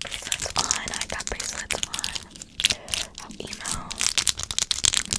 bracelets on. I got bracelets on. email for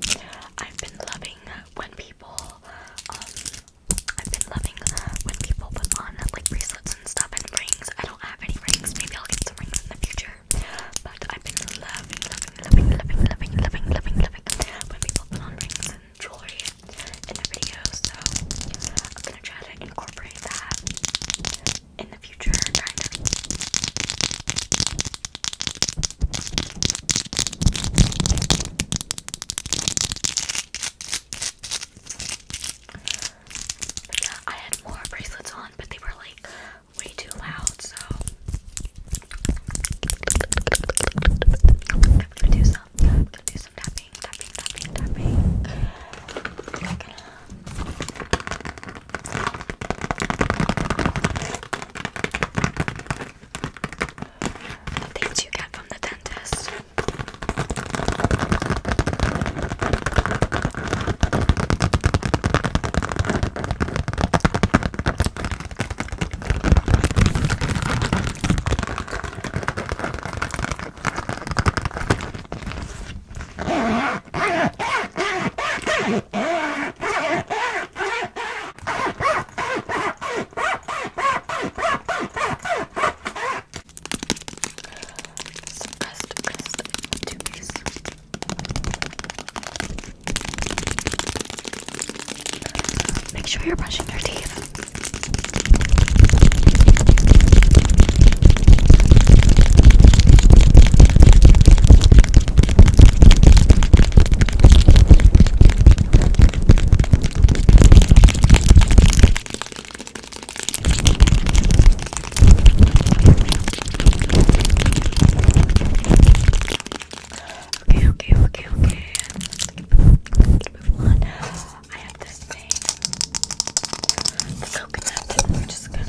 video. I've been loving when people, um, I've been loving when people put on like bracelets and stuff and rings. I don't have any rings. Maybe I'll get some rings in the future. But I've been loving, loving, loving, loving, loving, loving, loving, when people put on rings jewelry in the video, so I'm gonna try to incorporate that in the future, I had more bracelets on, but they were like way too loud, so um, yeah, I'm gonna do some tapping, tapping, tapping, tapping. i Things you get from the dentist. Some crust, crust, two piece. Make sure you're brushing your teeth. Okay, okay, okay, okay. Let's keep, keep moving on. I have this thing. The coconut. I'm just gonna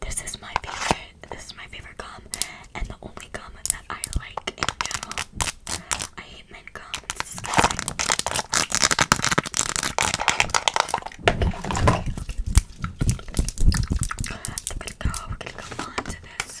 This is my favorite. This is my favorite gum, and the only gum that I like in general. I hate mint gum. It's disgusting. Okay, okay, okay. We're gonna go. We're gonna go on to this.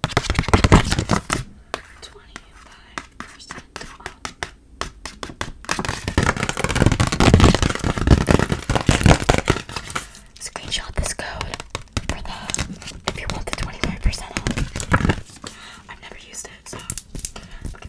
25% off. Screenshot this code for the if you want the 25% off. I've never used it, so okay.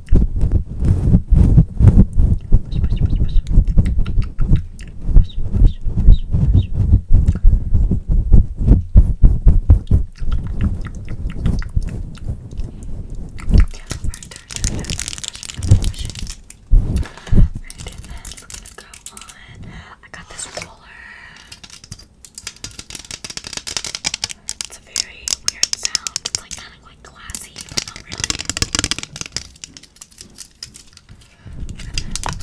Push, push, push, push. Push, push, push, push. Right, turn, turn, turn. Push, push. Right, and then it's gonna go on. I got this roller. It's a very weird sound. It's like kind of like glassy, but not really. And then let's connect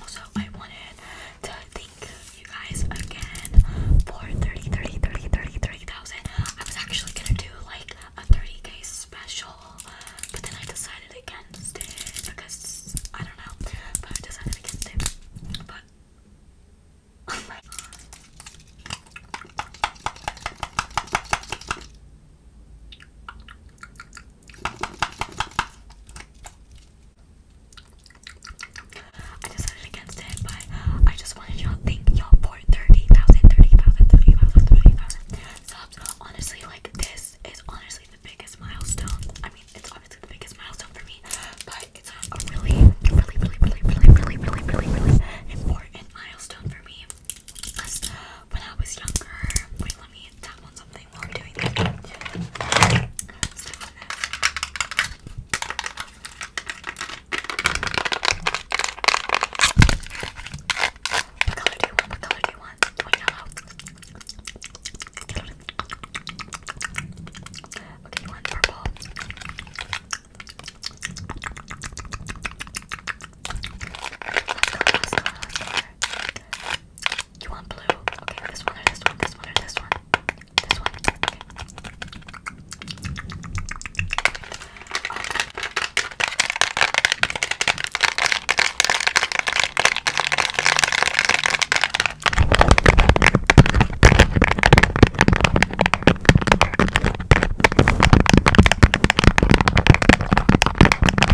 Also, I wanted to thank you guys again for 30, I was actually gonna do like a 30k special, but then I decided against it because I don't know, but I decided against it. But I decided against it, but I just wanted y'all to think y'all for 30,000, 30,000, 30,000, 30,000 subs. Honestly, like this is honestly the biggest milestone. I mean, it's obviously the biggest milestone for me, but it's a really, really, really, really, really, really, really, really, really important milestone for me. Because when I was younger. Wait, let me tap on something while i doing that. what color do you want? What color do you want? Do you want Okay, you purple. You want blue? Okay, this one or this one, this one or this one. This one. Okay.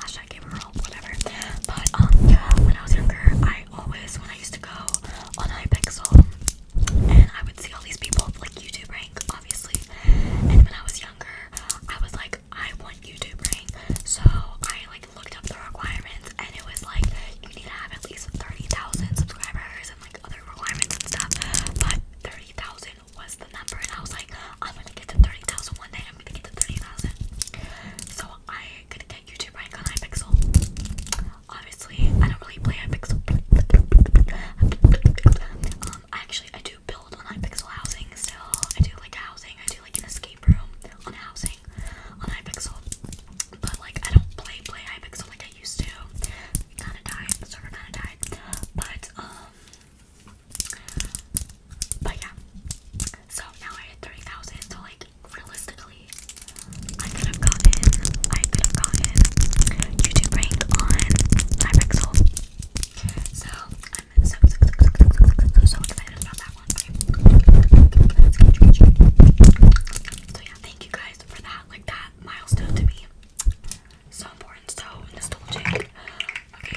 I hashtag gave her hope, whatever. But um, when I was younger, I always, when I used to go on Hypixel, and I would see all these people like YouTube rank, obviously. And when I was younger, I was like, I want YouTube rank. So I like looked up the requirements, and it was like you need to have at least thirty thousand subscribers and like other requirements and stuff. But thirty thousand was the number and I was like, I'm gonna get to 30,000 one day, I'm gonna get to 30,000. So I gonna get YouTube rank on iPixel. Obviously, I don't really play iPixel. Um, actually, I do build on iPixel housing still. I do like housing, I do like an escape room on housing on iPixel. But like, I don't play play iPixel like I used to. Kinda died, the server kinda died. But, um, but yeah. So now I hit 30,000. So, like, realistically, I could have gotten, I could have gotten YouTube ranked on my pixel. So, I'm so, so, so, so, so, so, so excited about that one. So, yeah, thank you guys for that. Like, that milestone to me. So important, so nostalgic. Okay,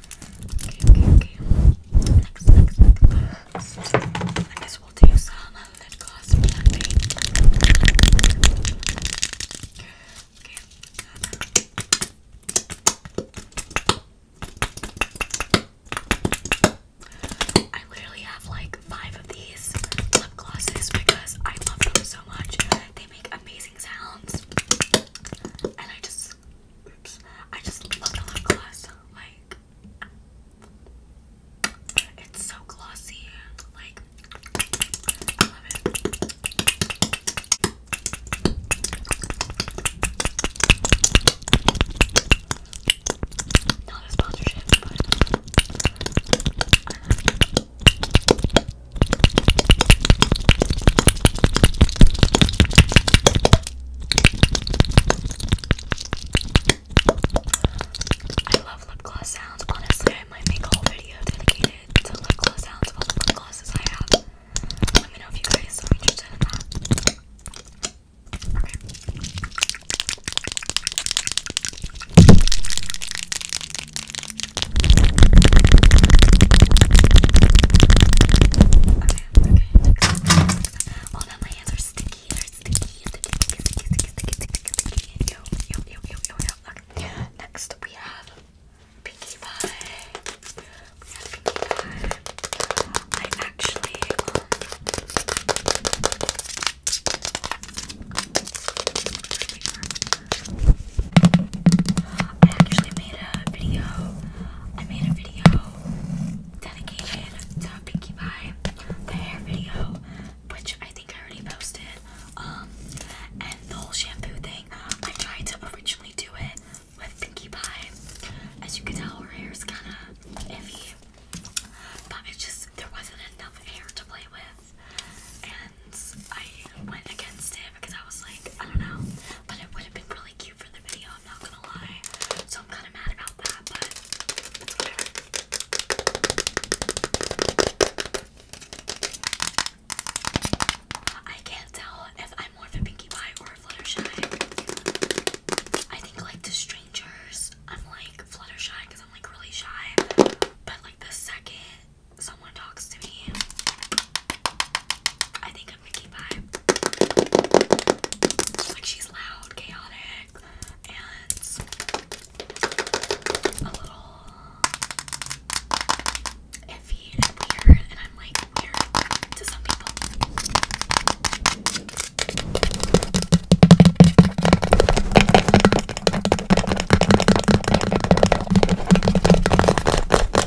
Okay, okay, okay. Next, next, next. I guess we'll do some lip gloss blending. I literally have like five of these lip glosses because I love them so much. They make amazing sounds. And I just Oops. I just love the lip gloss. Like it's so glossy. Like I love Not a sponsorship, I love lip gloss sounds. Honestly, I might make a whole video dedicated to lip gloss sounds of all the lip glosses I have. Let me know if you guys are interested in that. Okay. Okay, next. Oh no, my hands are sticky. They're sticky, sticky, sticky, sticky, sticky, sticky, sticky. Yo, yo, yo, yo, yo, Next we have Pinkie Pie. I actually I actually made a video I made a video dedicated to Pinkie Pie, the hair video, which I think I already posted. Um, and the whole shampoo thing, I tried to originally do it with Pinkie Pie. As you can tell, her hair is kind of iffy, but it just there wasn't enough hair to play with, and I went against it because I was like, I don't know, but it would have been really cute for the video, I'm not gonna lie. So I'm kind of mad about that, but whatever. I can't tell if I'm more of a Pinkie Pie or a Fluttershy. I think like to strangers, I'm like Fluttershy because I'm like really shy. But like the second someone talks to me, I think like she's loud, chaotic, and a little iffy and weird, and I'm like weird to some people.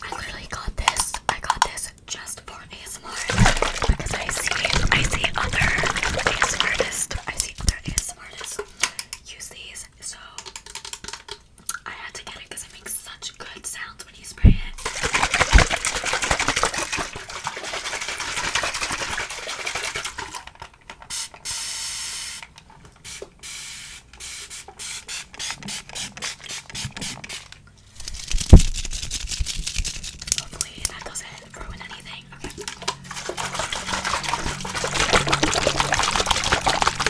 I literally got this. I got this just for ASMR because I see I see other ASMR artists. I see other ASMR artists use these. So I had to get it because it makes such good sounds when you spray it. Hopefully that doesn't ruin anything.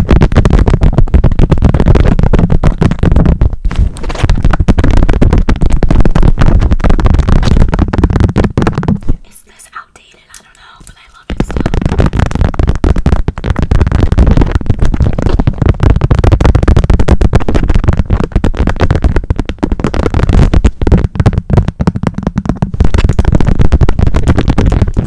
Is this outdated? I don't know, but I love it still.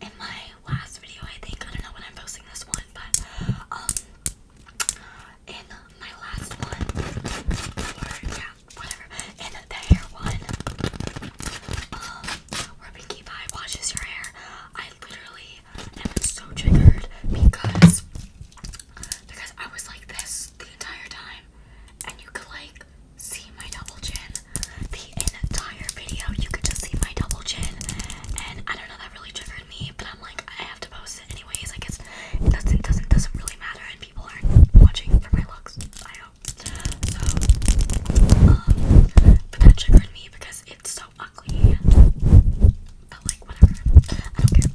in my last video, I think. I don't know when I'm posting this one, but um, in my last one, or yeah, whatever, in the hair one, um, where Pinkie Pie washes your hair, I literally am so triggered because because I was like this the entire time, and you could like see my double chin the entire video. You could just see my double chin, and I don't know that really triggered me. But I'm like, I have to post it anyways. Like it's doesn't doesn't doesn't really matter, and people aren't watching for my looks. I hope so. Um, but that triggered me because it's so ugly. But like whatever, I don't care. Okay.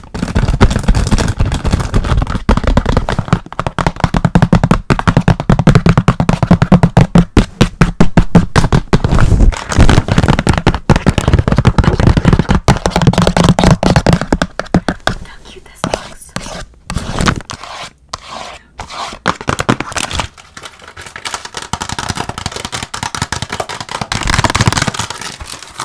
How cute this looks.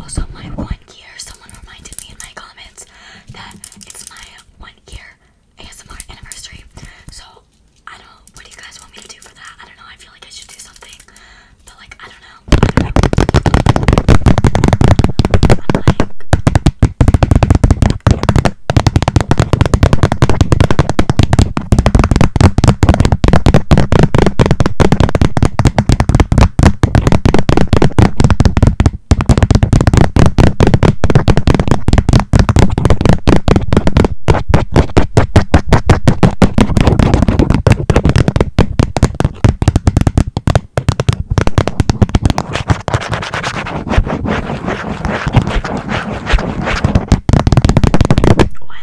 Also, my one gear, someone reminded me in my comments that it's my one gear ASMR anniversary. So I don't. What do you guys want me to do for that? I don't know. I feel like I should do something, but like I don't know. Oh, I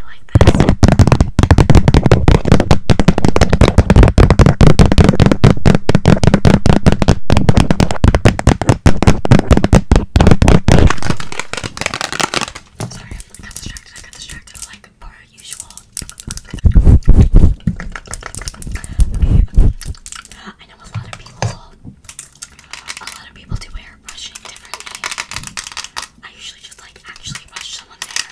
like this. Sorry, I got distracted. I got distracted like per usual. I know a lot of people a lot of people do hair differently. I usually just like actually brush someone's hair,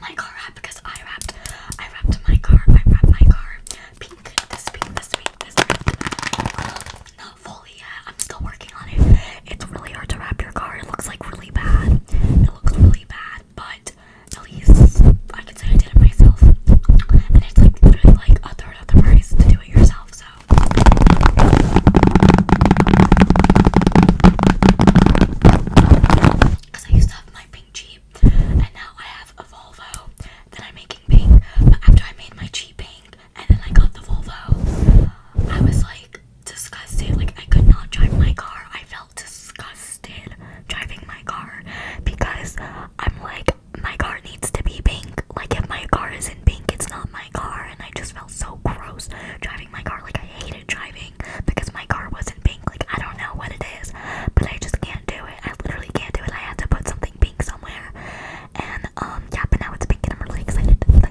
my car wrap because I wrapped I wrapped my car. I wrapped my car. Pink, this pink, this pink, this pink. not fully yet. I'm still working on it. It's really hard to wrap your car. It looks like really bad. It looks really bad, but at least I can say I did it myself. And it's like literally like a third of the price to do it yourself, so pink and now I have a Volvo that I'm making pink. But after I made my Jeep pink, and then I got the Volvo, I was like disgusted. Like I could not drive my car. I felt disgusted driving my car because I'm like my car needs to be pink. Like if my car isn't pink, it's not my car. And I just felt so gross driving my car. Like I hate driving because my car wasn't pink. Like, I don't know what it is, but I just can't do it. I literally can't do it. I had to put something pink somewhere. And, um, yeah, but now it's pink and I'm really excited. excited.